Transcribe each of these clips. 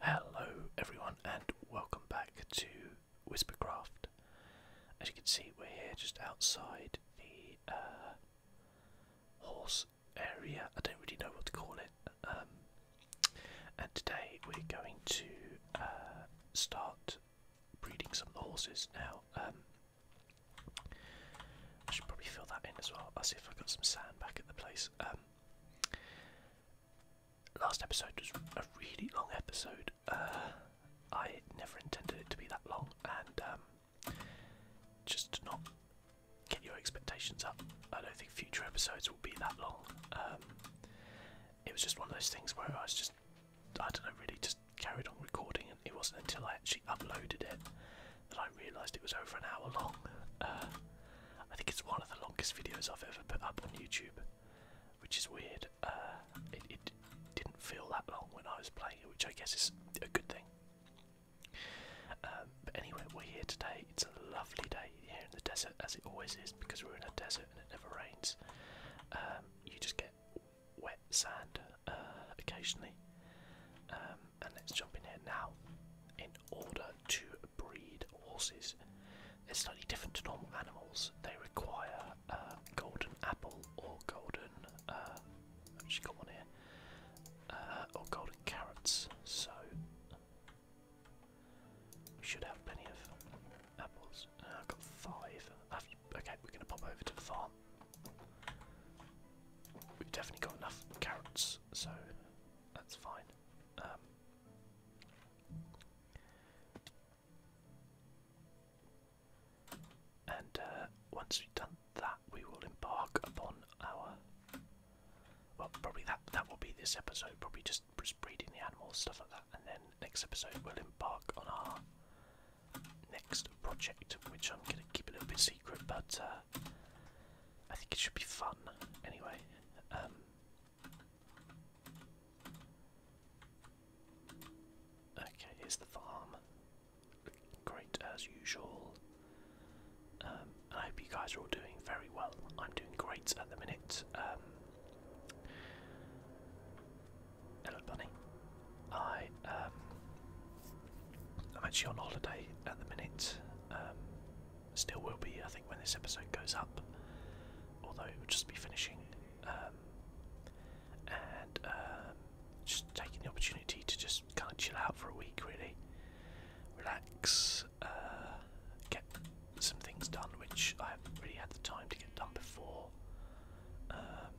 Hello everyone and welcome back to Whispercraft. As you can see we're here just outside the uh, horse area, I don't really know what to call it. Um, and today we're going to uh, start breeding some of the horses now. Um, I should probably fill that in as well. I'll see if I've got some sand back at the place. Um, last episode was a really long episode. Uh, I never intended it to be that long, and um, just to not get your expectations up, I don't think future episodes will be that long. Um, it was just one of those things where I was just, I don't know, really just carried on recording, and it wasn't until I actually uploaded it that I realised it was over an hour long. Uh, I think it's one of the longest videos I've ever put up on YouTube, which is weird. Uh, it, didn't feel that long when I was playing it, which I guess is a good thing. Um, but anyway, we're here today. It's a lovely day here in the desert, as it always is, because we're in a desert and it never rains. Um, you just get wet sand uh, occasionally. Um, and let's jump in here now in order to breed horses. They're slightly different to normal animals. They require uh, golden apple or golden. Uh, I've got one here. Uh, or golden carrots. So we should have plenty of apples. Uh, I've got 5 okay, we're going to pop over to the farm. We've definitely got enough carrots, so that's fine. Um, and uh, once we've done that, we will embark upon our. Well, probably that that will be this episode. Probably just breeding the animals, stuff like that, and then next episode we'll embark on our next project, which I'm going to keep a little bit secret, but uh, I think it should be fun anyway. Um, Okay, here's the farm. Great as usual. Um, I hope you guys are all doing very well. I'm doing great at the minute. Um, hello, bunny. I um, I'm actually on holiday at the minute. Still will be, I think, when this episode goes up. Although it will just be finishing. Um, and um, just taking the opportunity to just kind of chill out for a week, really. Relax, uh, get some things done which I haven't really had the time to get done before. Um,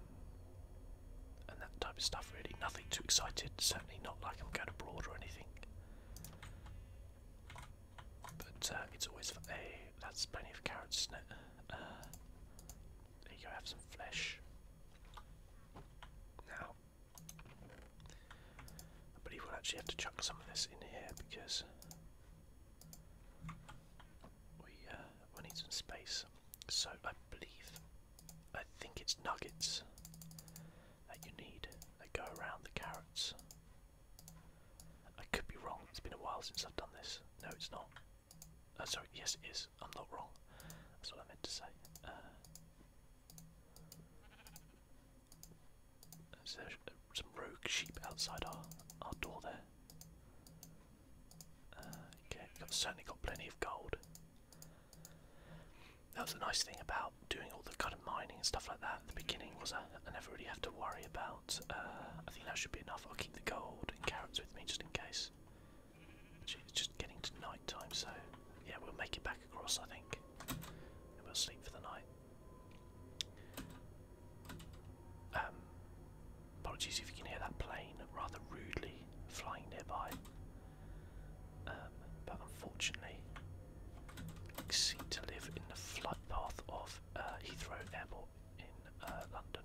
and that type of stuff, really. Nothing too excited, certainly not like I'm going abroad or anything. But uh, it's always for a. That's plenty of carrots, isn't it? there uh, you go, have some flesh. Now, I believe we'll actually have to chuck some of this in here because we uh, we need some space. So I believe, I think it's nuggets that you need that go around the carrots. I could be wrong. It's been a while since I've done this. No, it's not. Uh, sorry, yes, it is. I'm not wrong. That's what I meant to say. Uh, There's some rogue sheep outside our, our door there? Uh, okay, I've certainly got plenty of gold. That was the nice thing about doing all the kind of mining and stuff like that at the beginning was I? never really have to worry about. Uh, I think that should be enough. I'll keep the gold and carrots with me just in case. it's just getting to nighttime, so yeah, we'll make it back across, I think. And we'll sleep for the night. Um, apologies if you can hear that plane rather rudely flying nearby. Um, but unfortunately, seem to live in the flight path of uh, Heathrow Airport in uh, London.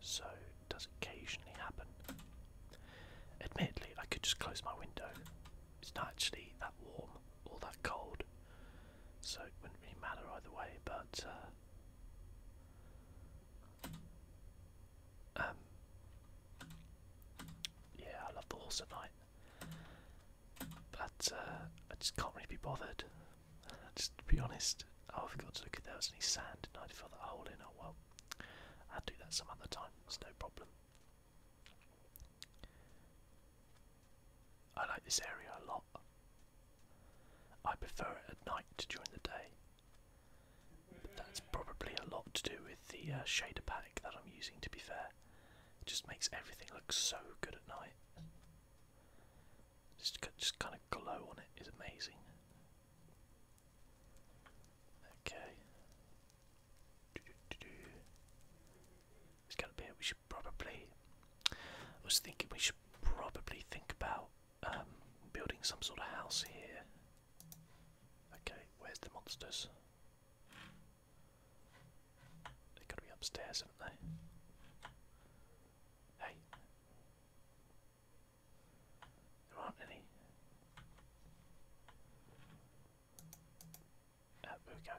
So it does occasionally happen. Admittedly, I could just close my window. It's not actually that warm or that cold, so it wouldn't really matter either way. But uh, um, yeah, I love the horse at night. But uh, I just can't really be bothered. Just to be honest, I forgot to look if there was any sand and I fill that hole in. Oh well, i would do that some other time, it's no problem. I like this area a lot. I prefer it at night to during the day. But that's probably a lot to do with the uh, shader pack that I'm using, to be fair. It just makes everything look so good at night. Just, just kind of glow on it is amazing. Okay. It's gonna be. We should probably. I was thinking we should probably think about um, building some sort of house here. Okay, where's the monsters? They've be upstairs, haven't they? Hey. There aren't any. Ah, there we go.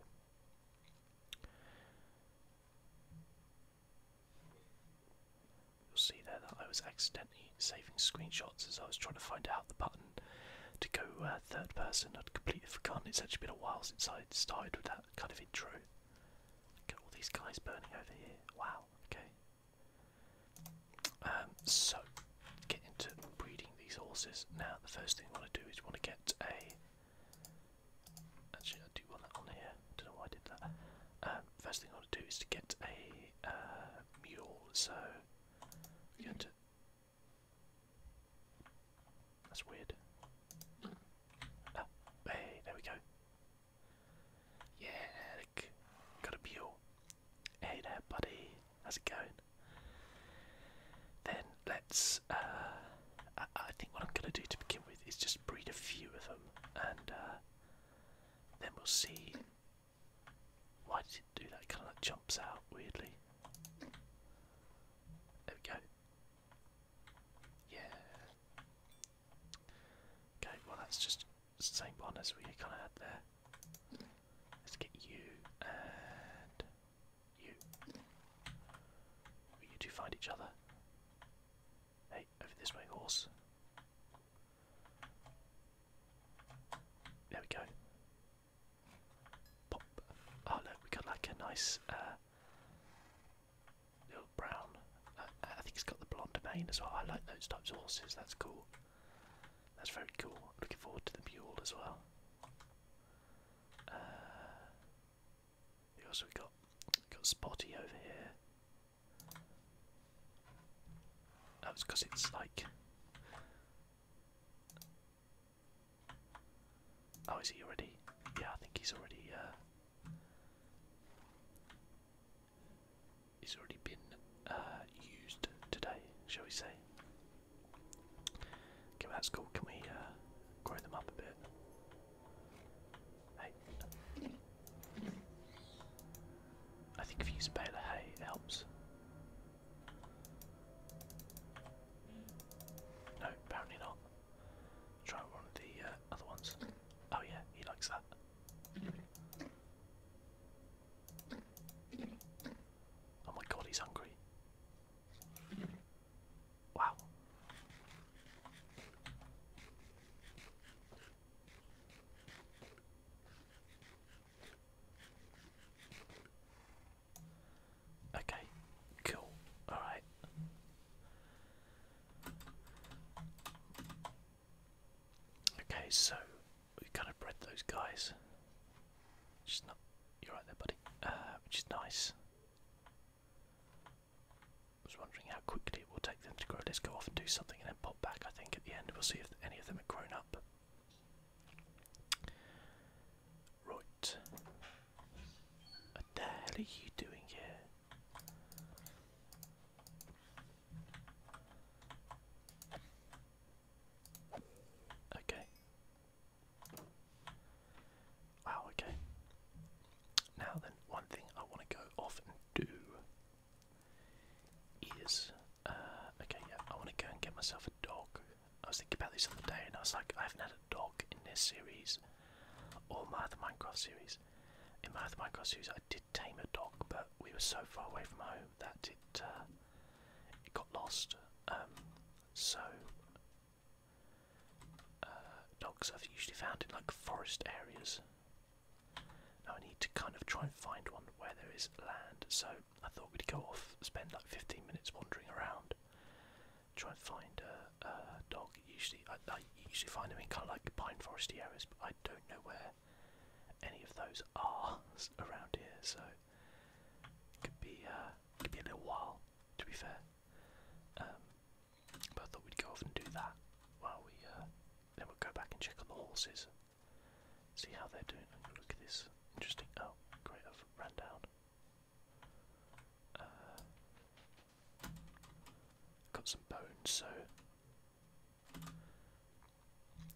You'll see there that I was accidentally saving screenshots as I was trying to find out the button to go uh, third person. I'd completely forgotten. It's actually been a while since I started with that kind of intro. Got all these guys burning over here. Wow. Okay. Um, so, get into breeding these horses. Now, the first thing I want to do is want to get a. Actually, I do want that on here. Don't know why I did that. Um, first thing I want to do is to get a uh, mule. So, we're that's weird. Oh, hey, there we go. Yeah, got a mule. Hey there, buddy. How's it going? Then let's. Uh, I, think what I'm going to do to begin with is just breed a few of them, and uh, then we'll see. Why did do that? kind of jumps out weirdly. There we go. Yeah. Okay, well that's just the same one as we kind of had there. Let's get you and you. you two find each other? Hey, over this way, horse. There we go. Oh look, we got like a nice uh, little brown. Uh, I think it's got the blonde mane as well. I like those types of horses. That's cool. That's very cool. Looking forward to the mule as well. Because uh, we also got got Spotty over here. That was because it's like Oh, is he already? Yeah, I think he's already. Uh, he's already been uh, used today, shall we say? Okay, well, that's cool. Can we uh, grow them up a bit? Hey. I think if you use a hay, it helps. No, apparently not. Try one of the uh, other ones. Oh yeah, he likes that. Oh my god, he's hungry. Wow. Okay, cool. All right. Okay, so we kind of bred those guys. Which is not. You're right there, buddy. Uh, which is nice. I was wondering how quickly it will take them to grow. Let's go off and do something and then pop back. I think at the end we'll see if any of them have grown up. Right. What the hell are you doing here? Okay. Wow, okay. Now then, one thing I want to go off and do is, uh, okay, yeah, I want to go and get myself a dog. I was thinking about this other day, and I was like, I haven't had a dog in this series or my other Minecraft series. In my other Minecraft series, I did tame a dog, but we were so far away from home that it uh, it got lost. Um, so uh, dogs are usually found in like forest areas. Now I need to kind of try and find one where there is land. So I thought we'd go off, spend like 15 minutes wandering around, try and find a, dog. Usually, I, usually find them in kind of like pine foresty areas, but I don't know where any of those are around here, so it uh, could be a little while, to be fair. Um, but I thought we'd go off and do that while we uh, then we'll go back and check on the horses, see how they're doing. Look at this, interesting. Oh, great! I've ran down. Uh, got some bones, so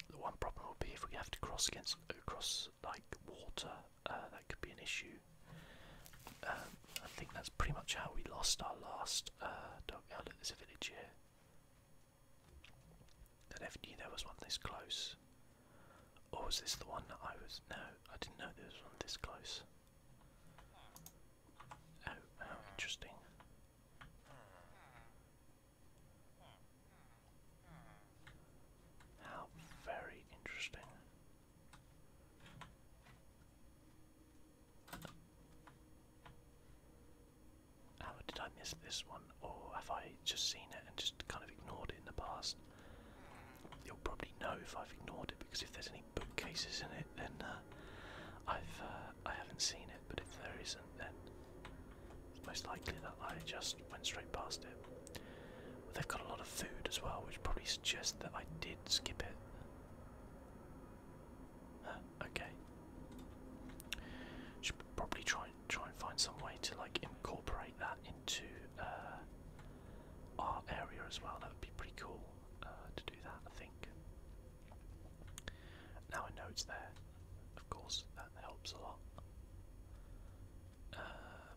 the one problem will be if we have to cross against across like water, uh, that could be an issue. Um, I think that's pretty much how we lost our last uh, dog out at this village here. never knew there was one this close. Or oh, was this the one that I was? No, I didn't know there was one this close. Oh, how interesting. How very interesting. How did I miss this one? Or have I just seen it and just kind of ignored it in the past? You'll probably know if I've ignored it because if there's any bookcases in it, then uh, I've uh, I haven't seen it. But if there isn't, then it's most likely that I just went straight past it. they've got a lot of food as well, which probably suggests that I did skip it. okay. Should probably try try and find some way to like incorporate that into our uh, area as well. That would be pretty cool uh, to do that, I think. Now I know it's there, of course, that helps a lot. Um,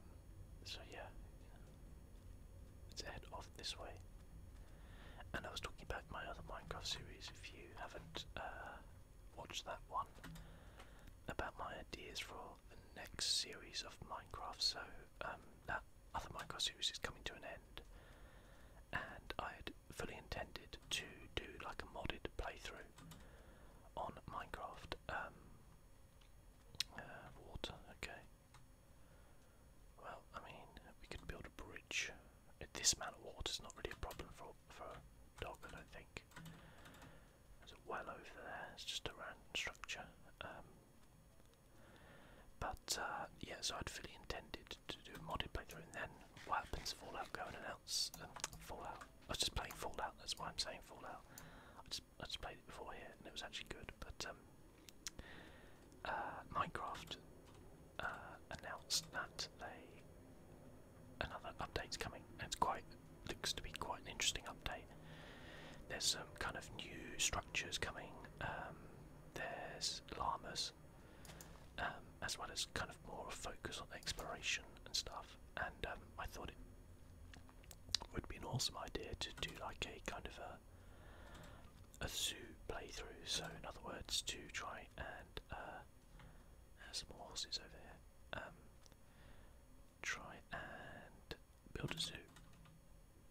so yeah, let's head off this way. And I was talking about my other Minecraft series, if you haven't uh, watched that one, about my ideas for next series of Minecraft. So um, that other Minecraft series is coming to an end, and I had fully intended to do like a modded playthrough on Minecraft. Um, uh, water, okay. Well, I mean, we could build a bridge. This amount of water is not really a problem for for a dog, I don't think. There's a well over there, it's just a random structure. Um, but uh, yeah, so I'd fully intended to do a modded playthrough, and then what happens? Fallout go and announce um, Fallout. I was just playing Fallout. That's why I'm saying Fallout. I just played it before here, and it was actually good. But um, uh, Minecraft uh, announced that they another update's coming. And it's quite looks to be quite an interesting update. There's some kind of new structures coming. Um, there's llamas, um, as well as kind of more focus on exploration and stuff. And um, I thought it would be an awesome idea to do like a kind of a a zoo playthrough. So in other words, to try and uh, some horses over here. try and build a zoo,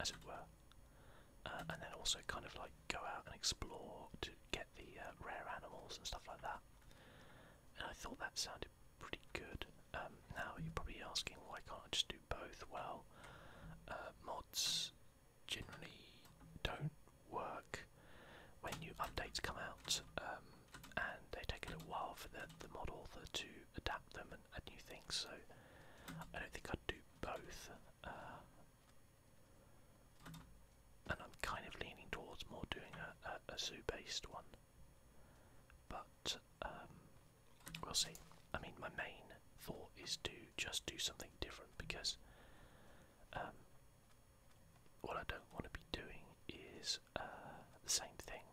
as it were, uh, and then also kind of like go out and explore to get the uh, rare animals and stuff like that. And I thought that sounded pretty good. Um, now you're probably asking why can't I just do both? Well, uh, mods generally don't work when new updates come out. Um, and they take a little while for the, the mod author to adapt them and add new things. So I don't think I'd do both, uh, and I'm kind of leaning towards more doing a, a, zoo-based one. But um, we'll see. I mean, my main thought is to just do something different because um, what I don't want to be doing is uh, the same thing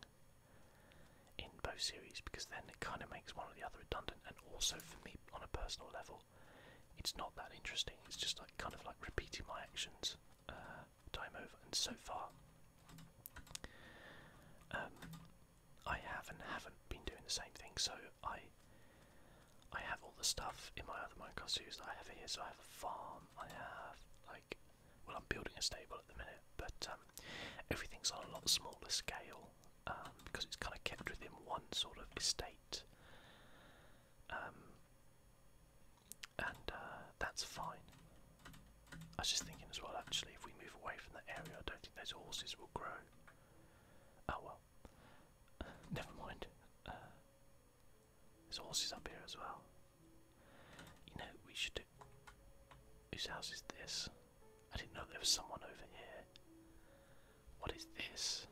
in both series because then it kind of makes one or the other redundant. And also for me, on a personal level, it's not that interesting. It's just like kind of like repeating my actions uh, time over. And so far, um, I have and haven't been doing the same thing. So I. I have all the stuff in my other Minecraft series that I have here. So I have a farm, I have like well, I'm building a stable at the minute, but um, everything's on a lot smaller scale um, because it's kind of kept within one sort of estate, um, and uh, that's fine. I was just thinking as well, actually, if we move away from that area, I don't think those horses will grow. Oh well, never mind. Uh, there's horses up here as well. You know, we should Whose house is this? I didn't know there was someone over here. What is this?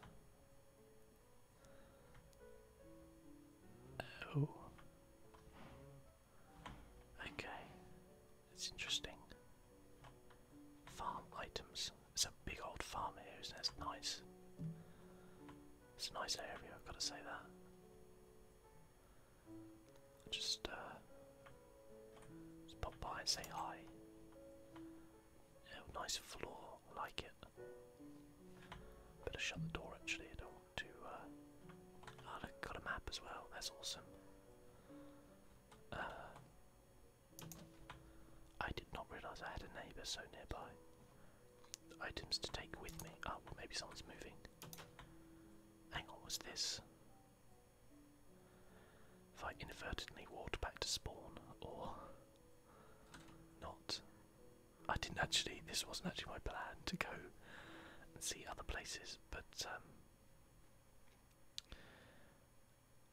Oh. Okay. It's interesting. Farm items. It's a big old farm here. It's nice. It's a nice area, I've got to say that. Just, uh, just pop by and say hi. nice floor, like it. Better shut the door actually, I don't want to. Uh... Oh, look, got a map as well, that's awesome. Uh, I did not realise I had a neighbour so nearby. Items to take with me. Oh, maybe someone's moving. Hang on, what's this? If I inadvertently walked back to spawn, or not. I didn't actually, this wasn't actually my plan to go and see other places, but um,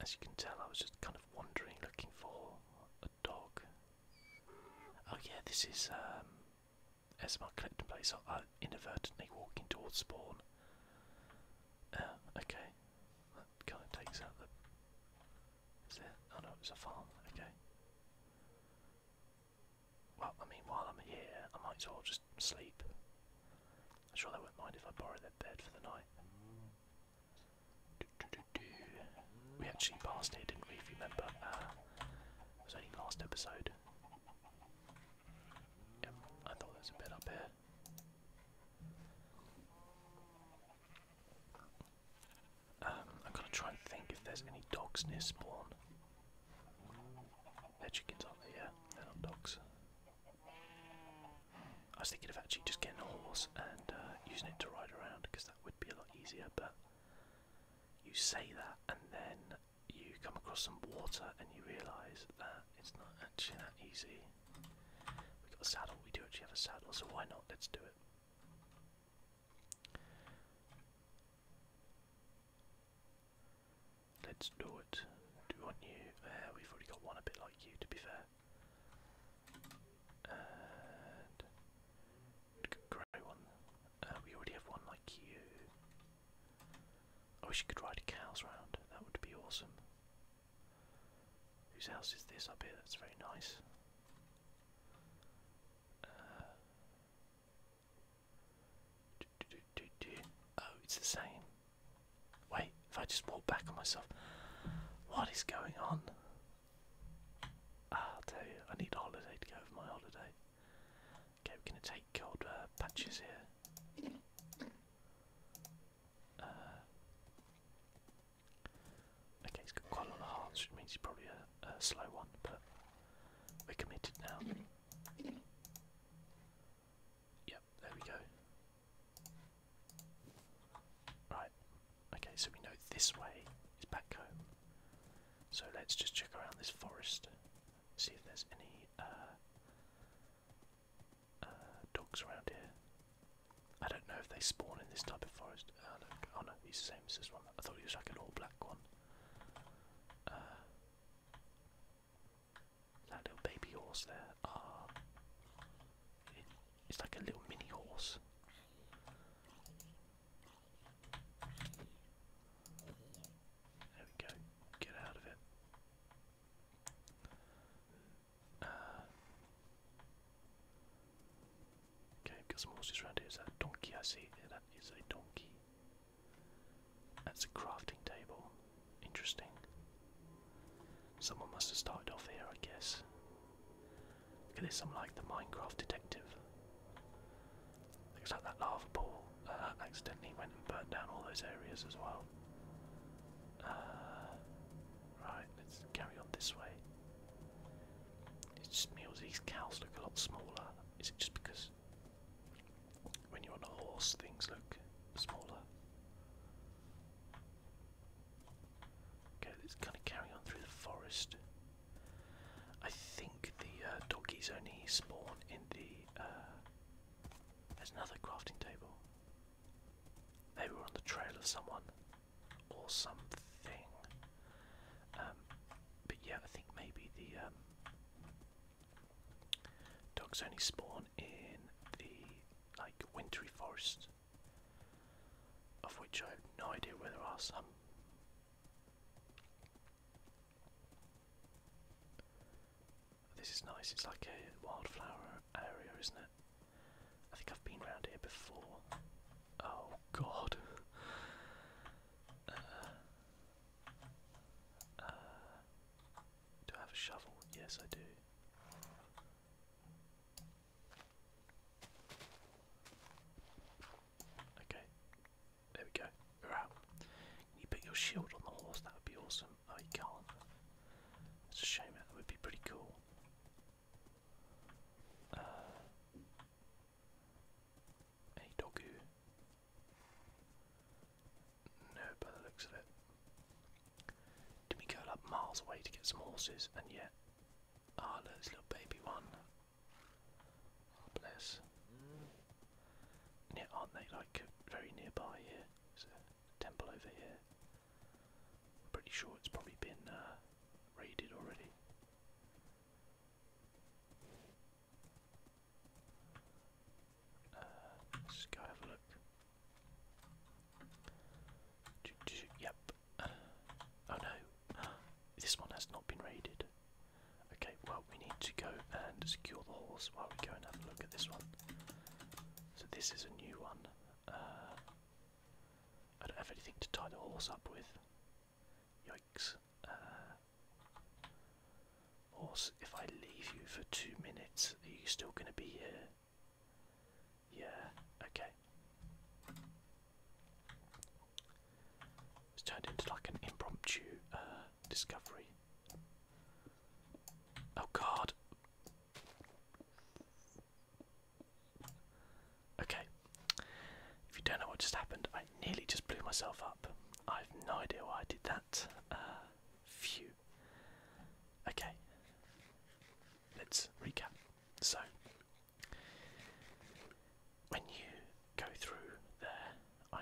as you can tell, I was just kind of wandering looking for a dog. Oh, yeah, this is um, as my collect and place, I inadvertently walking towards spawn. Um, okay, kind of takes out the. Is there? Oh no, it's a farm. Okay. Well, I mean, while I'm here, I might as well just sleep. sure they won't mind if I borrow their bed for the night. We actually passed here, didn't we? If you uh, it was only last episode. I thought there's a bit up here. Um, I'm gonna try and think if there's any dogs near spawn. They're chickens, aren't dogs. I was thinking of actually just getting a horse and uh, using it to ride around because that would be a lot easier, but you say that and then you come across some water and you realise that it's not actually that easy. We've got a saddle, we do actually have a saddle, so why not? Let's do it. Let's do it. Do we want uh, we've already got one a bit like you, to be fair. And grey one. Uh, we already have one like you. I wish you could ride cows round. That would be awesome. Whose house is this up here? That's very nice. Uh, oh, it's the same. Wait, if I just walk back on myself, what is going on? Ah, I'll tell you, I need a holiday to go for my holiday. Okay, we're going to take gold uh, patches here. Uh, okay, he's got quite a lot of hearts, which means he's probably a, a slow one, but we're committed now. Yep, there we go. Right, okay, so we know this way is back home. So let's just check around this forest see if there's any uh, uh, dogs around here. I don't know if they spawn in this type of forest. Oh, oh no, he's the same as this one. I thought he was like an all black one. Uh, that little baby horse there. Ah, it's like a little mini horse. There we go. Get out of it. Uh, okay, got some horses around here. Is that a donkey I see? that is a donkey. That's a crafting table. Interesting. Someone must have started off here, I guess. Look at this, I'm like the Minecraft detective. Looks like that lava pool uh, accidentally went and burnt down all those areas as well. Uh, right, let's carry on this way. It's just means these cows look a lot smaller. Is it just because when you're on a horse things look smaller? Okay, let's kind of carry on through the forest. I think the uh, doggies only spawn in the uh, there's another crafting table. Maybe we're on the trail of someone or something. Um, but yeah, I think maybe the um, dogs only spawn in the like wintry forest, of which I have no idea where there are some. This is nice, it's like a wildflower area, isn't it? I think I've been around here before. Oh god. Uh, uh, do I have a shovel? Yes, I do. Okay. There we go. We're out. Can you put your shield on the horse? That would be awesome. Oh, you can't. It's a shame. That would be pretty cool. Uh, any No, by the looks of it. Did we go like miles away to get some horses, and yet, ah, this little baby one. Ah, bless. Yeah, aren't they like very nearby here? There's a temple over here. I'm pretty sure it's probably been uh, raided already. Uh, go have a look. Yep. Oh no, this one has not been raided. Okay, well, we need to go and secure the horse while we go and have a look at this one. So, this is a new one. Uh, I don't have anything to tie the horse up with. Yikes. Uh, horse, if I leave you for two minutes, are you still going to be here? Yeah, okay. It's turned into like an impromptu uh, discovery. Oh god. Okay. If you don't know what just happened, I nearly just blew myself up. I have no idea why I did that. Uh, phew. Okay. Let's recap. So, when you go through there, I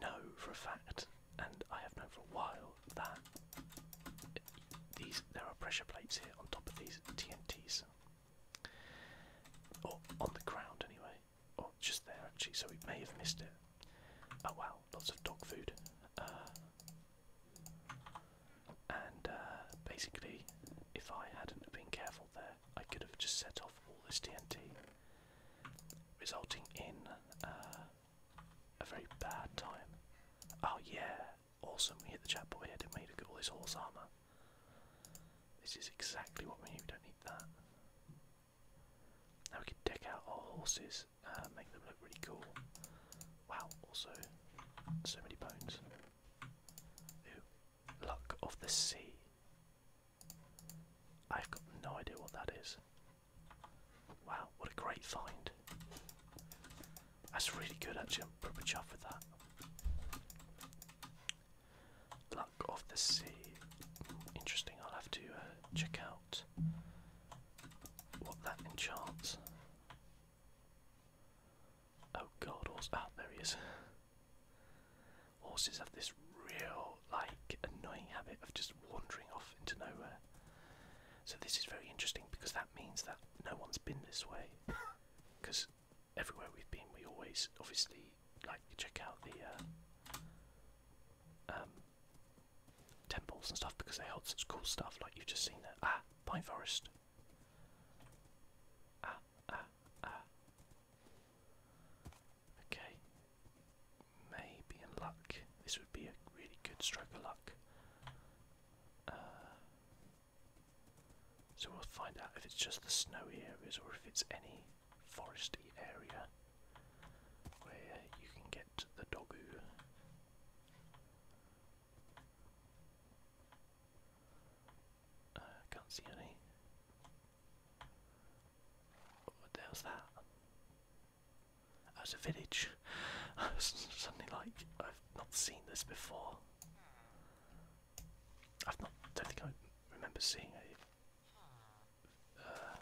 know for a fact, and I have known for a while, that these there are pressure plates here on top of these TNTs. Or on the ground anyway. Or just there actually, so we may have missed it. Oh wow, lots of dog food. Uh, and uh, basically, if I hadn't been careful there, I could have just set off all this TNT resulting in uh, a very bad time. Oh yeah, awesome, we hit the chat boy didn't and made a all this horse armour. This is exactly what we need, we don't need that. Now we can deck out our horses, uh, make them look really cool. Wow, also, so many bones. Ooh, luck of the sea. I've got no idea what that is. Wow, what a great find. That's really good actually, I'm proper chuffed with that. Luck of the sea. Interesting, I'll have to uh, check out what that enchants. Oh god, what's ah, there he is horses have this real like annoying habit of just wandering off into nowhere. So this is very interesting because that means that no one's been this way. Because everywhere we've been, we always obviously like check out the uh, um, temples and stuff because they hold such cool stuff. Like you've just seen there. Ah, pine forest. Ah, ah, ah. Okay. Maybe in luck. This would be a really good stroke of luck. Uh, so we'll find out if it's just the snowy areas or if it's any foresty area where you can get the dogu. Uh, can't see any. What the hell's that? Oh, it's a village. I suddenly like, I've not seen this before. I've not, don't think I remember seeing a, uh,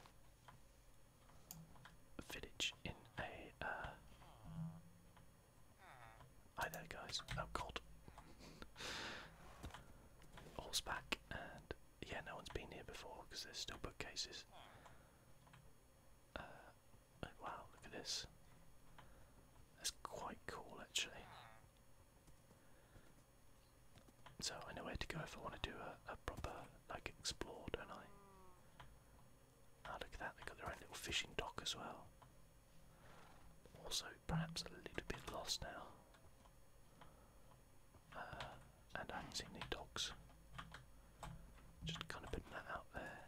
village in a. Uh, hi there, guys. Oh God. Horseback and yeah, no one's been here before because there's still bookcases. Uh, oh, wow, look at this. That's quite cool, actually. So I know where to go if I want to do a, proper like explore, don't I? Ah, look at that. They got their own little fishing dock as well. Also, perhaps a little bit lost now. Uh, and I haven't seen any dogs. Just kind of putting that out there.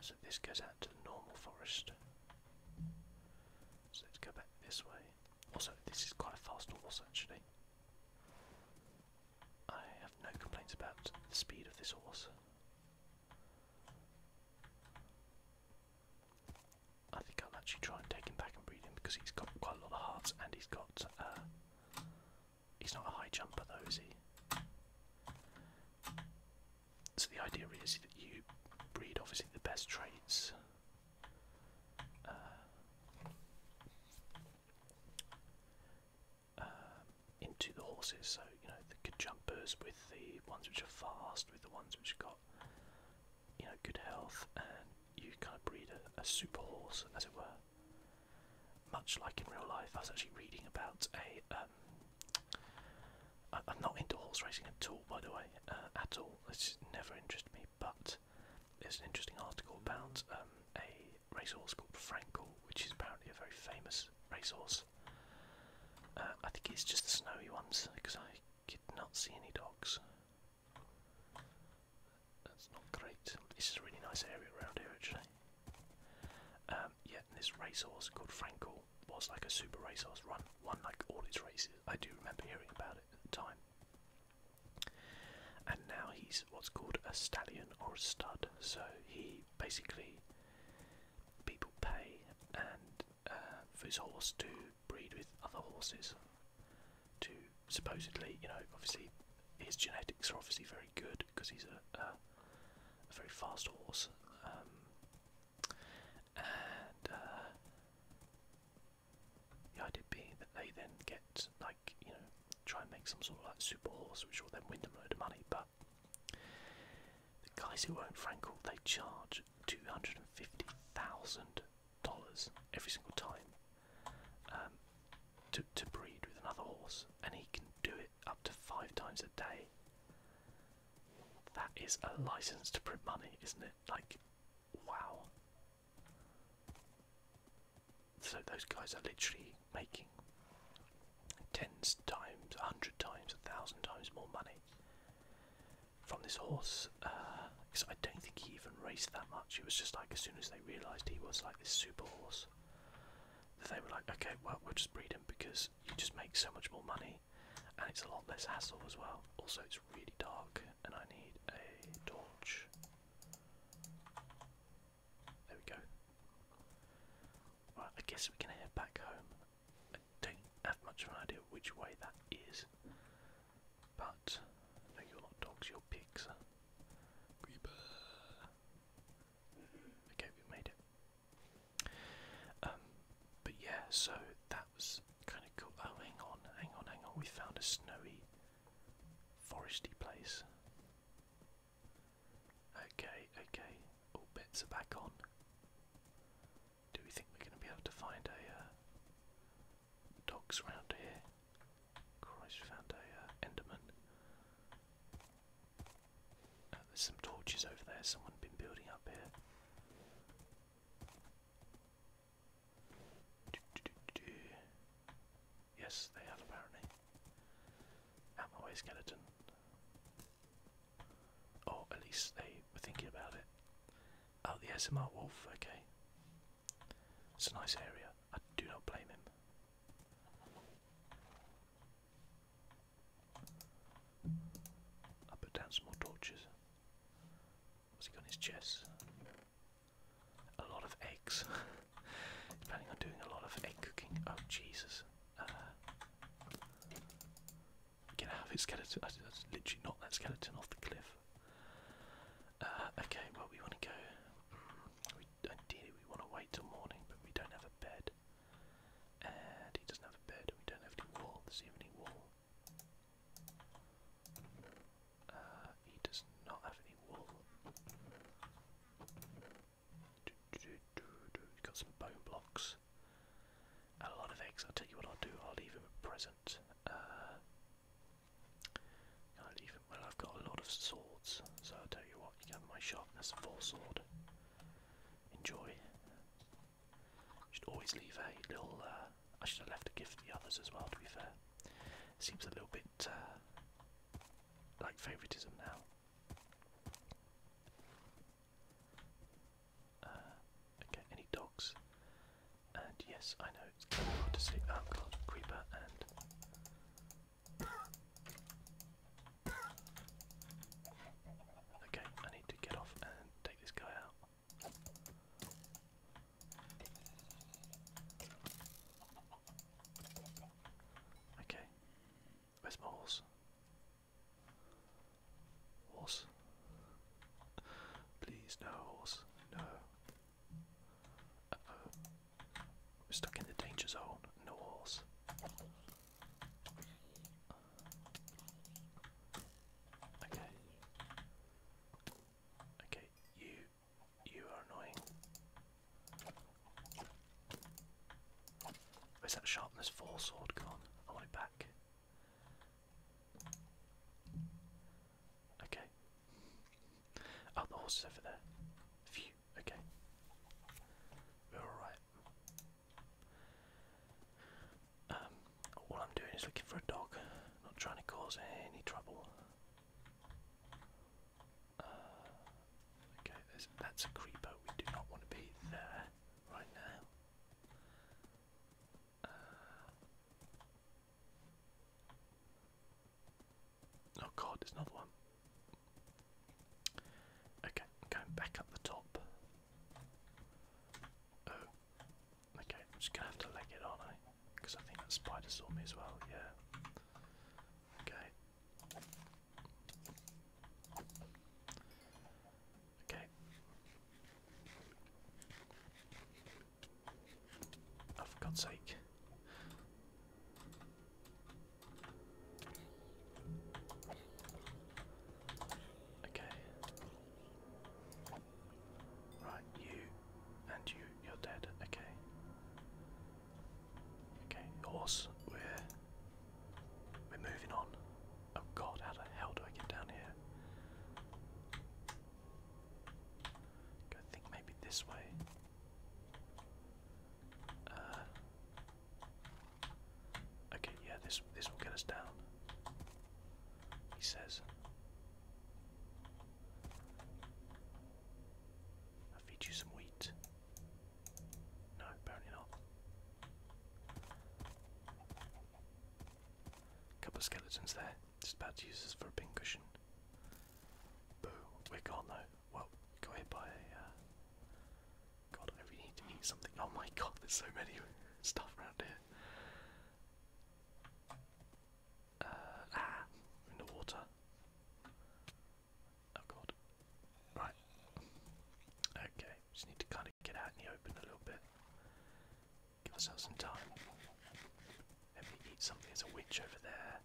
So this goes out to the normal forest. So let's go back this way. Also, this is quite a fast horse actually. I have no complaints about the speed of this horse. I think I'll actually try and take him back and breed him because he's got quite a lot of hearts and he's got. Uh, he's not a high jumper though, is he? So the idea is that you breed obviously the best traits. Uh, um, into the horses, so you know the jumpers with the ones which are fast, with the ones which have got you know, good health, and you kind of breed a, a super horse, as it were. Much like in real life, I was actually reading about a. Um, I, I'm not into horse racing at all, by the way, uh, at all. It's never interested me. But there's an interesting article about um, a racehorse called Frankel, which is apparently a very famous racehorse. Uh, I think it's just the snowy ones because I could not see any dogs. That's not great. This is a really nice area around here actually. Um, yeah, this racehorse called Frankel was like a super racehorse run, won like all its races. I do remember hearing about it at the time. And now he's what's called a stallion or a stud. So he basically people pay and uh, for his horse to breed with other horses to supposedly, you know, obviously his genetics are obviously very good because he's a, very fast horse. Um, and uh, the idea being that they then get, like, you know, try and make some sort of like super horse which will then win them a load of money. But the guys who own Frankel, they charge 250,000 dollars every single time um, to to breed with another horse, and he can do it up to five times a day. That is a license to print money, isn't it? Like, wow. So those guys are literally making tens times, a hundred times, a thousand times more money from this horse because uh, I don't think he even raced that much. It was just like as soon as they realised he was like this super horse, they were like, okay, well we'll just breed him because you just make so much more money and it's a lot less hassle as well. Also, it's really dark and I need a torch. There we go. Right, I guess we can head back home. I don't have much of an idea which way that is, but no, you're not dogs, you're pigs. Creeper. Okay, we made it. Um, but yeah, so that was kind of cool. Oh, hang on, hang on, hang on. We found a snowy, foresty place. Okay, okay. All bets are back on. Do we think we're going to be able to find a uh, dogs around here. Christ, found a uh, Enderman. Uh, there's some torches over there. Someone been building up here. Do, do, do, do. Yes, they have apparently. Out my way, skeleton. Or oh, at least they were thinking about it. Oh, the SMR wolf. Okay. It's a nice area. I do not blame him. I put down some more torches. What's he got in his chest? A lot of eggs. He's on doing a lot of egg cooking. Oh, Jesus. Uh, get out his skeleton. That's literally not that skeleton off the cliff. Uh, okay, well we want to go. Hmm, ideally, we want to wait till morning, but we don't have a bed, and he doesn't have a bed. We don't have any wall. Does he have any wall? Uh, he does not have any wool. He's got some bone blocks. And a lot of eggs. I'll tell you what I'll do. I'll leave him a present. Uh, I leave Well, I've got a lot of swords, so I'll tell you what, you can have my sharpness 4 sword. Enjoy. Should always leave a little. Uh, I should have left a gift for the others as well, to be fair. Seems a little bit uh, like favouritism now. Uh, okay, any dogs? And yes, I know it's kind of hard to see. Um, oh god, creeper and. Okay, I need to get off and take this guy out. Okay, where's my horse? Please, no horse, no. We're stuck in the danger zone. No horse. Okay. Okay, you you are annoying. Where's that sharpness four sword gone? I want it back. Okay. Oh, the horse is over there. Phew. Okay. We're alright. Um, all I'm doing is looking for a dog. Not trying to cause any trouble. Uh, okay, that's a creeper. We do not want to be there right now. Uh, Oh god, there's another one. Okay, going back up the top. Oh, okay, I'm just gonna have to leg it, aren't I? Because I think that spider saw me as well, yeah. Okay. Okay. Oh, for God's sake. Okay. Right, you and you, you're dead. Okay. Okay, horse, we're we're moving on. Oh god, how the hell do I get down here? I think maybe this way. Uh, okay, yeah, this this will get us down. He says. I feed you some wheat. No, apparently not. Couple of skeletons there. Just about to use this for a pincushion. Boo, we're though. Well, we got hit uh, God, I really need to eat something. Oh my god, there's so many stuff around here. Uh, ah, in the water. Oh god. Right. Okay, just need to kind of get out in the open a little bit. Give ourselves some time. Let me eat something. There's a witch over there.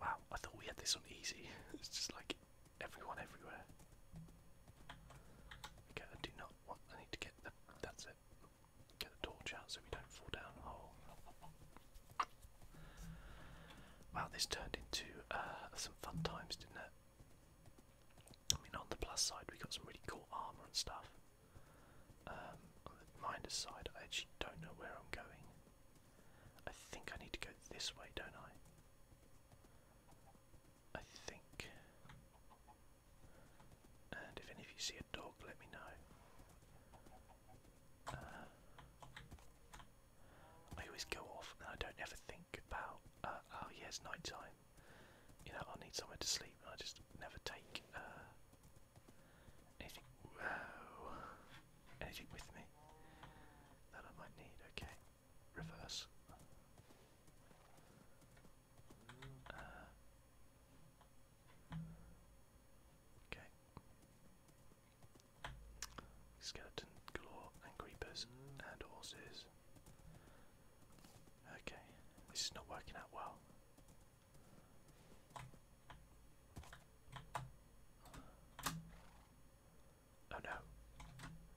Wow, I thought we had this on easy. it's just like everyone everywhere. Okay, I do not I need to get the. That's it. Get the torch out so we don't fall down a hole. Wow, this turned into uh, some fun times, didn't it? I mean, on the plus side, we got some really cool armor and stuff. Um, on I actually don't know where I'm going. I think I need to go this way, don't I? I think. And if any of you see a dog, let me know. Uh, I always go off and I don't ever think about, uh, oh yeah, night time. You know, i need somewhere to sleep and I just never take uh, Anything? Whoa. Anything with me that I might need? Okay. Reverse. Uh. okay. Skeleton galore and creepers and horses. Okay, this is not working out well. Oh no.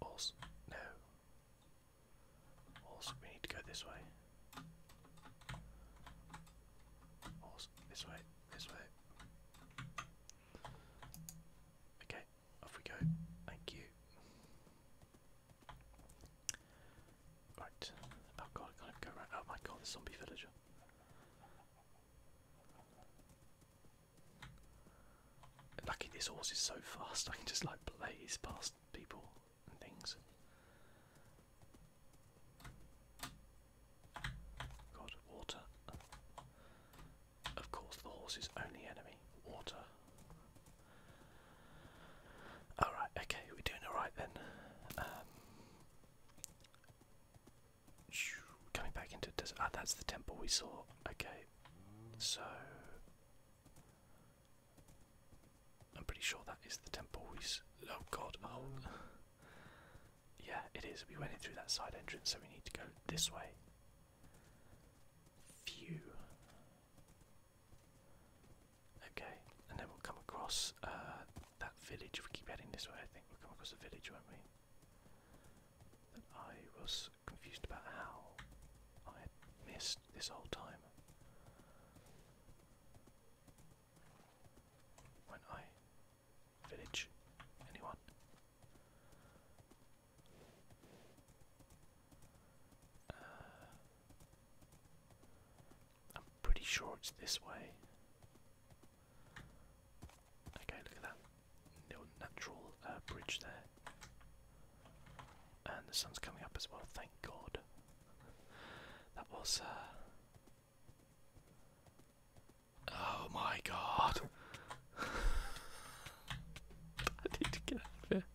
Also, no. Also, we need to go this way. Also, this way, this way. Okay, off we go. Thank you. Right. Oh god, I can't go around. Oh my god, the zombie villager. Lucky this horse is so fast, I can just like blaze past people and things. God, water. Of course, the horse's only enemy, water. Alright, okay, we're doing alright then. Um, coming back into ah, that's the temple we saw. Okay, so I'm pretty sure that is the temple we. S oh God! Oh, oh. yeah, it is. We went in through that side entrance, so we need to go this way. Phew. Okay, and then we'll come across uh, that village. If we keep heading this way, I think we'll come across the village, won't we? I was confused about how I had missed this whole time. When I village, anyone? Uh, I'm pretty sure it's this way. Okay, look at that little natural uh, bridge there. And the sun's coming up as well, thank God. That was. Uh, oh my God! I need to get out of here.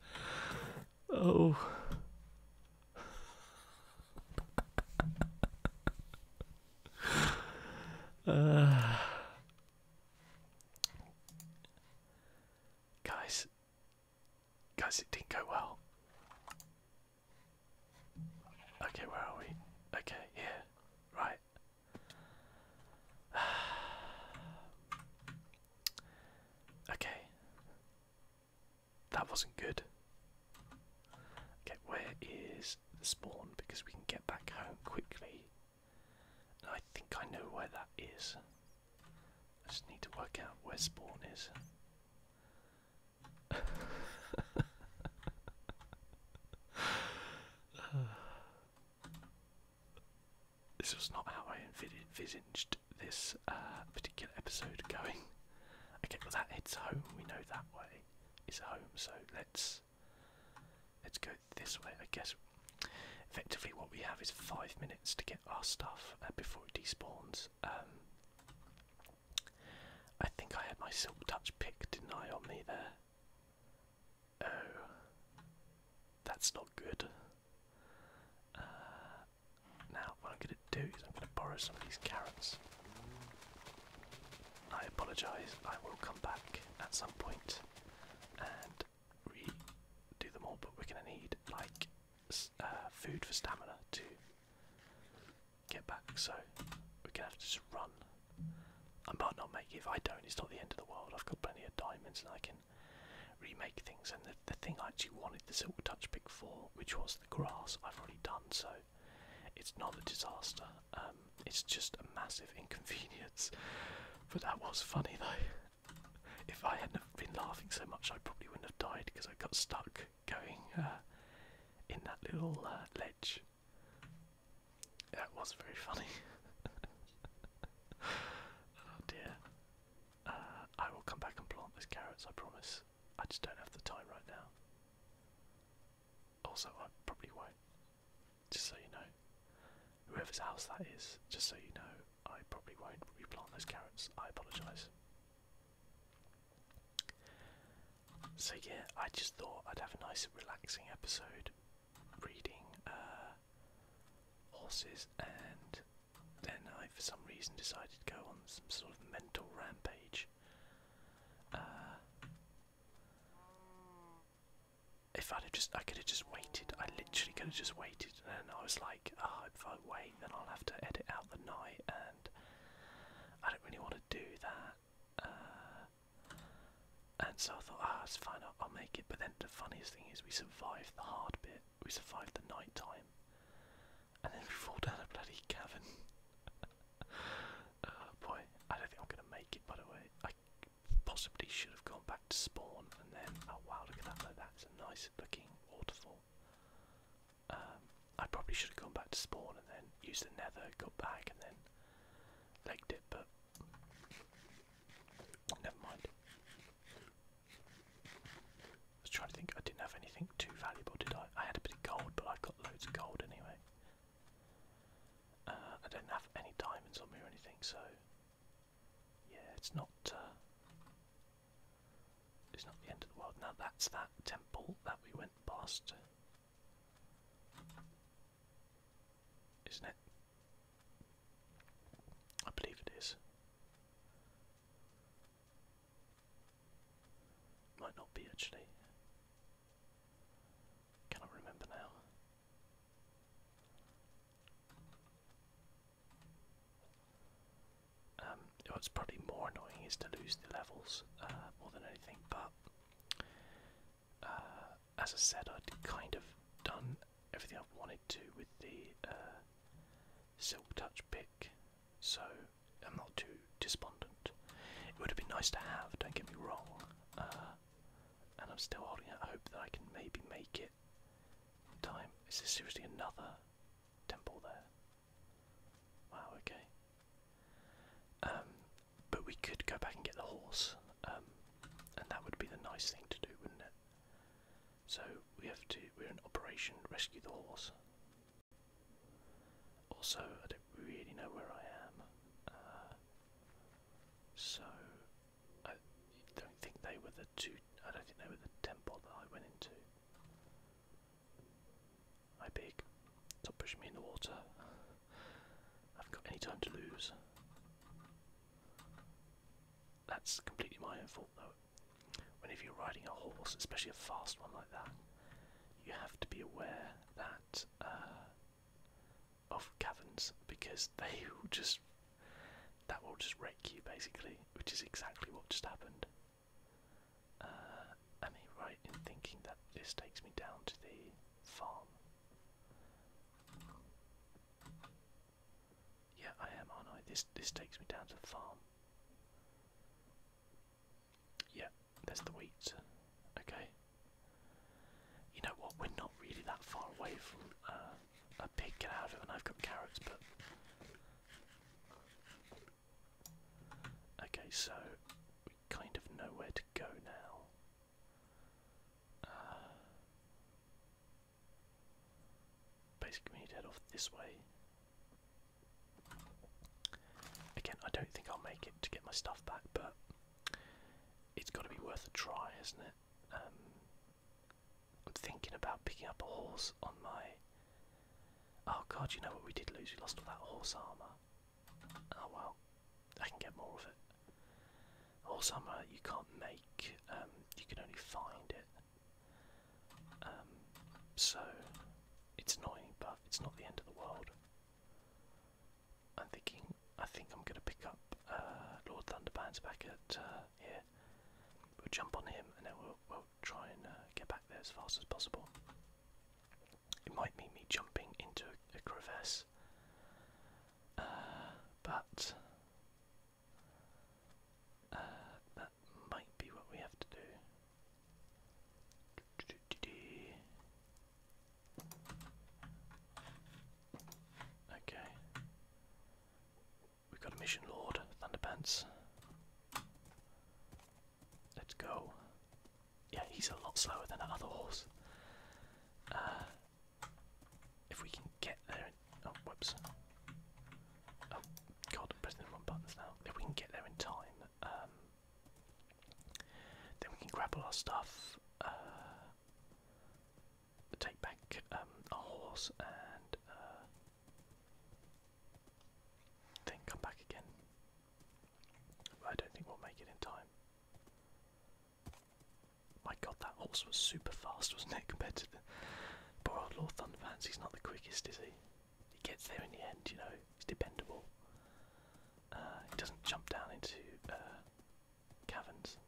Oh, guys, guys, it didn't go well. Okay, where are we? Okay, here, right. okay, that wasn't good. Okay, where is the spawn? Because we can get back home quickly. I think I know where that is. I just need to work out where spawn is. this was not how I envisaged this uh, particular episode going. Okay, well that heads home. We know that way is home. So let's let's go this way. I guess effectively what we have is five minutes to get our stuff uh, before it despawns. Um, I think I had my silk touch pick, deny on me there? Oh, that's not good. Uh, now, what I'm going to do is I'm going to borrow some of these carrots. I apologise, I will come back at some point and redo them all, but we're going to need like uh, food for stamina to get back, so we're going to have to just run. I might not make it, if I don't, it's not the end of the world. I've got plenty of diamonds and I can remake things. And the, thing I actually wanted the Silk Touch pick for, which was the grass I've already done, so it's not a disaster. Um, it's just a massive inconvenience. But that was funny though. If I hadn't been laughing so much, I probably wouldn't have died because I got stuck going uh, in that little uh, ledge. That was very funny. oh dear. Uh, I will come back and plant those carrots, I promise. I just don't have the time right now. Also, I probably won't. Just so you know, whoever's house that is, just so you know, I probably won't replant those carrots. I apologise. So yeah, I just thought I'd have a nice relaxing episode reading uh, horses and then I for some reason decided to go on some sort of mental rampage uh, if I'd have just, I could have just waited. I literally could have just waited, and I was like, oh, if I wait, then I'll have to edit out the night, and I don't really want to do that. Uh, and so I thought, ah, oh, it's fine, I'll make it. But then the funniest thing is, we survived the hard bit. We survived the night time and then we fall down a bloody cavern. oh boy, I don't think I'm gonna make it by the way. I possibly should have gone back to spawn and then oh wow look at that though that's a nice looking waterfall. Um I probably should have gone back to spawn and then used the nether, got back and then legged it but never mind. I was trying to think. I didn't have anything too valuable, did I? I had a bit of gold, but I've got loads of gold anyway. Uh, I don't have any diamonds on me or anything, so yeah, it's not. Uh, it's not the end of the world. Now that's that temple that we went past, isn't it? I believe it is. Might not be actually. Cannot remember now. Um, what's probably more annoying is to lose the levels uh, more than anything, but uh, as I said, I'd kind of done everything i wanted to with the uh, Silk Touch pick, so I'm not too despondent. It would have been nice to have, don't get me wrong. Uh, and I'm still holding out hope that I can maybe make it time. Is there seriously another temple there? Wow, okay. Um, but we could go back and get the horse, um, and that would be the nice thing to do, wouldn't it? So we have to, we're in operation, rescue the horse. Also, I don't really know where I am, uh, so I don't think they were the two. I don't think they were the temple that I went into. I Hi, pig! Stop pushing me in the water. I have got any time to lose. That's completely my own fault, though. Whenever you're riding a horse, especially a fast one like that, you have to be aware uh, of caverns because they will just that will just wreck you basically, which is exactly what just happened. Uh, am I right in thinking that this takes me down to the farm? Yeah, I am, aren't This this takes me down to the farm. Yeah, there's the wheat. Okay. You know what? We're not really that far away from uh, a pig. Get out of and I've got carrots, but. Okay, so we kind of know where to go now. Uh, basically, we need to head off this way. Again, I don't think I'll make it to get my stuff back, but it's got to be worth a try, isn't it? Um, I'm thinking about picking up a horse on my. Oh god, you know what we did lose? We lost all that horse armour. Oh well, I can get more of it. Horse armour you can't make, um, you can only find it. Um, so it's annoying, but it's not the end of the world. I'm thinking. I think I'm gonna pick up uh, Lord Thunderbands back at uh, here. We'll jump on him, and then we'll, we'll try and uh, get back there as fast as possible. It might mean me jumping into a, crevasse, but that might be what we have to do. Okay. We've got a mission lord, Thunderpants. Let's go. Yeah, he's a lot slower than that other horse. Uh, if we can get there in, oh whoops. Oh god, pressing the wrong now. If we can get there in time, um, then we can grab all our stuff, uh, take back um, our horse, and uh, then come back again. I don't think we'll make it in time. My god, that horse was super fast, wasn't it, compared to the poor old Lord Thunderpants? He's not the quickest, is he? he gets there in the end, you know, he's dependable. Uh, he doesn't jump down into uh, caverns,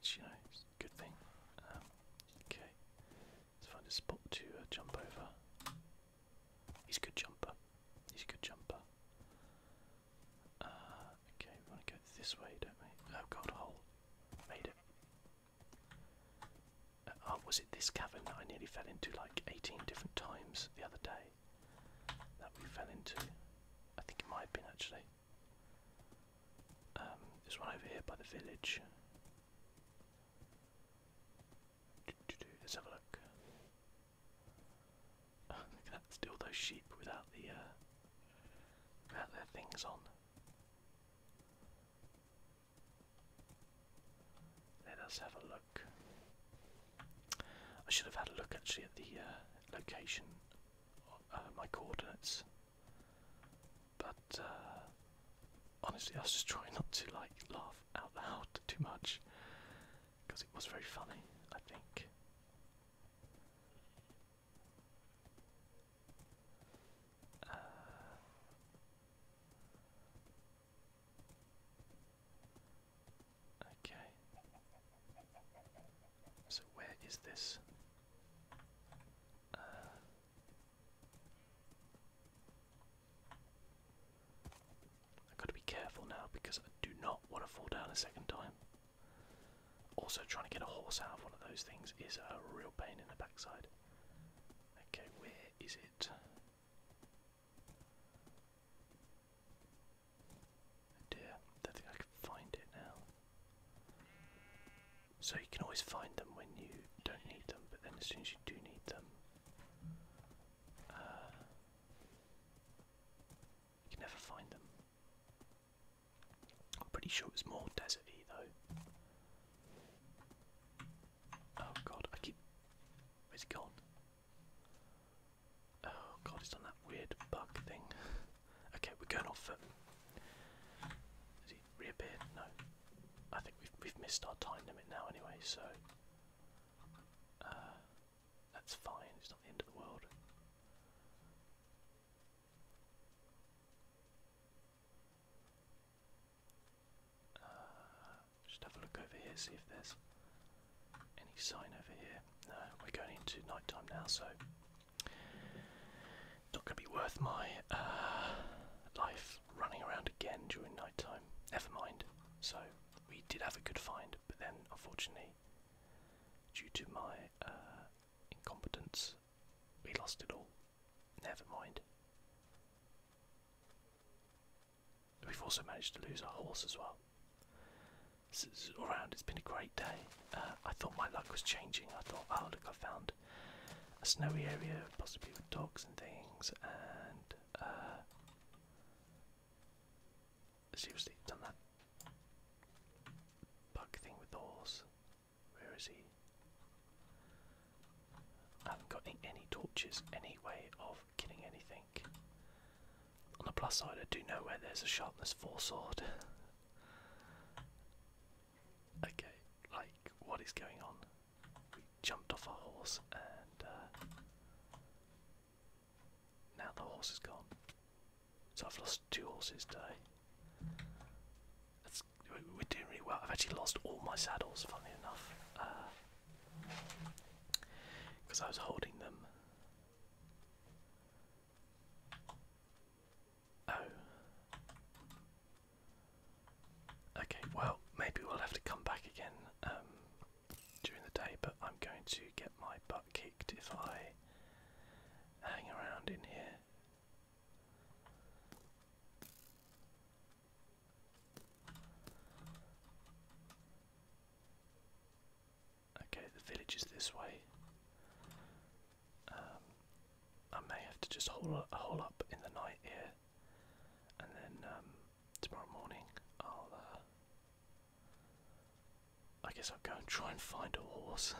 It's you know, a good thing. Um, okay, let's find a spot to uh, jump over. He's a good jumper, he's a good jumper. Uh, okay, we want to go this way, don't we? Oh god, hole. Made it oh, was it this cavern that I nearly fell into like 18 different times the other day? That we fell into. I think it might have been actually. Um, there's one over here by the village. Let's have a look. look at that, still those sheep without the uh, without their things on. Let us have a look. I should have had a look actually at the uh, location, uh, my coordinates. But uh, honestly, I was just trying not to like laugh out loud too much because it was very funny. I think. Uh, Okay. So where is this? Uh, I've got to be careful now because I do not want to fall down a second time. Also, trying to get a horse out of one of those things is a real pain in the backside. Okay, where is it? Oh dear, think I can find it now. So you can always find them when you don't need them, but then as soon as you do need them, uh, you can never find them. I'm pretty sure it's more deserty though. Oh god, I keep. Where's he gone? Oh god, he's done that weird bug thing. okay, we're going off. for. Um, has he reappeared? No. I think we've we've missed our time limit now anyway, so uh, that's fine. It's not the end of the world. Uh, just have a look over here, see if there's any sign over here. No, we're going into nighttime now, so not going to be worth my uh, life running around again during nighttime. Never mind. So we did have a good find, but then unfortunately, due to my uh, incompetence, we lost it all. Never mind. We've also managed to lose our horse as well. So, all around, it's been a great day. Uh, I thought my luck was changing. I thought, oh look, I found a snowy area, possibly with dogs and things, and uh, seriously, done that bug thing with the horse. Where is he? I haven't got any, torches, any way of killing anything. On the plus side, I do know where there's a sharpness 4 sword. okay, like, what is going on? We jumped off our horse and uh, now the horse is gone. So I've lost two horses today. That's, we're doing really well. I've actually lost all my saddles, funny enough. Uh, because I was holding them. Oh. Okay, well, maybe we'll have to come back again um, during the day, but I'm going to get my butt kicked if I hang around in here. Okay, the village is this way. Um, I may have to just haul up, up in the night here, and then um, tomorrow morning I'll. Uh, I guess I'll go and try and find a horse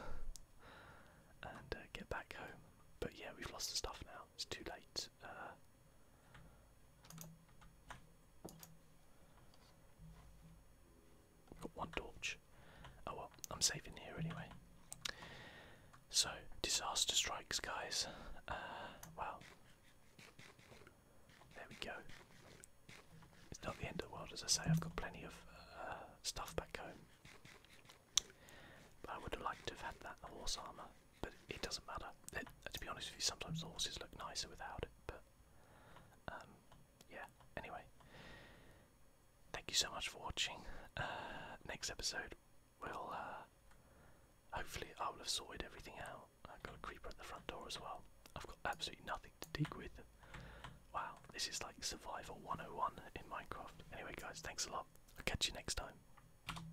and uh, get back home. But yeah, we've lost the stuff now. It's too late. Uh, Got one torch. Oh well, I'm safe in here anyway. So, disaster strikes, guys. Uh, well, there we go. It's not the end of the world, as I say, I've got plenty of uh, stuff back home. I would have liked to have had that horse armour but it doesn't matter. Uh, to be honest with you, sometimes the horses look nicer without it, but um, yeah, anyway. Thank you so much for watching. Uh, next episode, we'll uh, hopefully I will have sorted everything out. I've got a creeper at the front door as well. I've got absolutely nothing to dig with. Wow, this is like Survival 101 in Minecraft. Anyway, guys, thanks a lot. I'll catch you next time.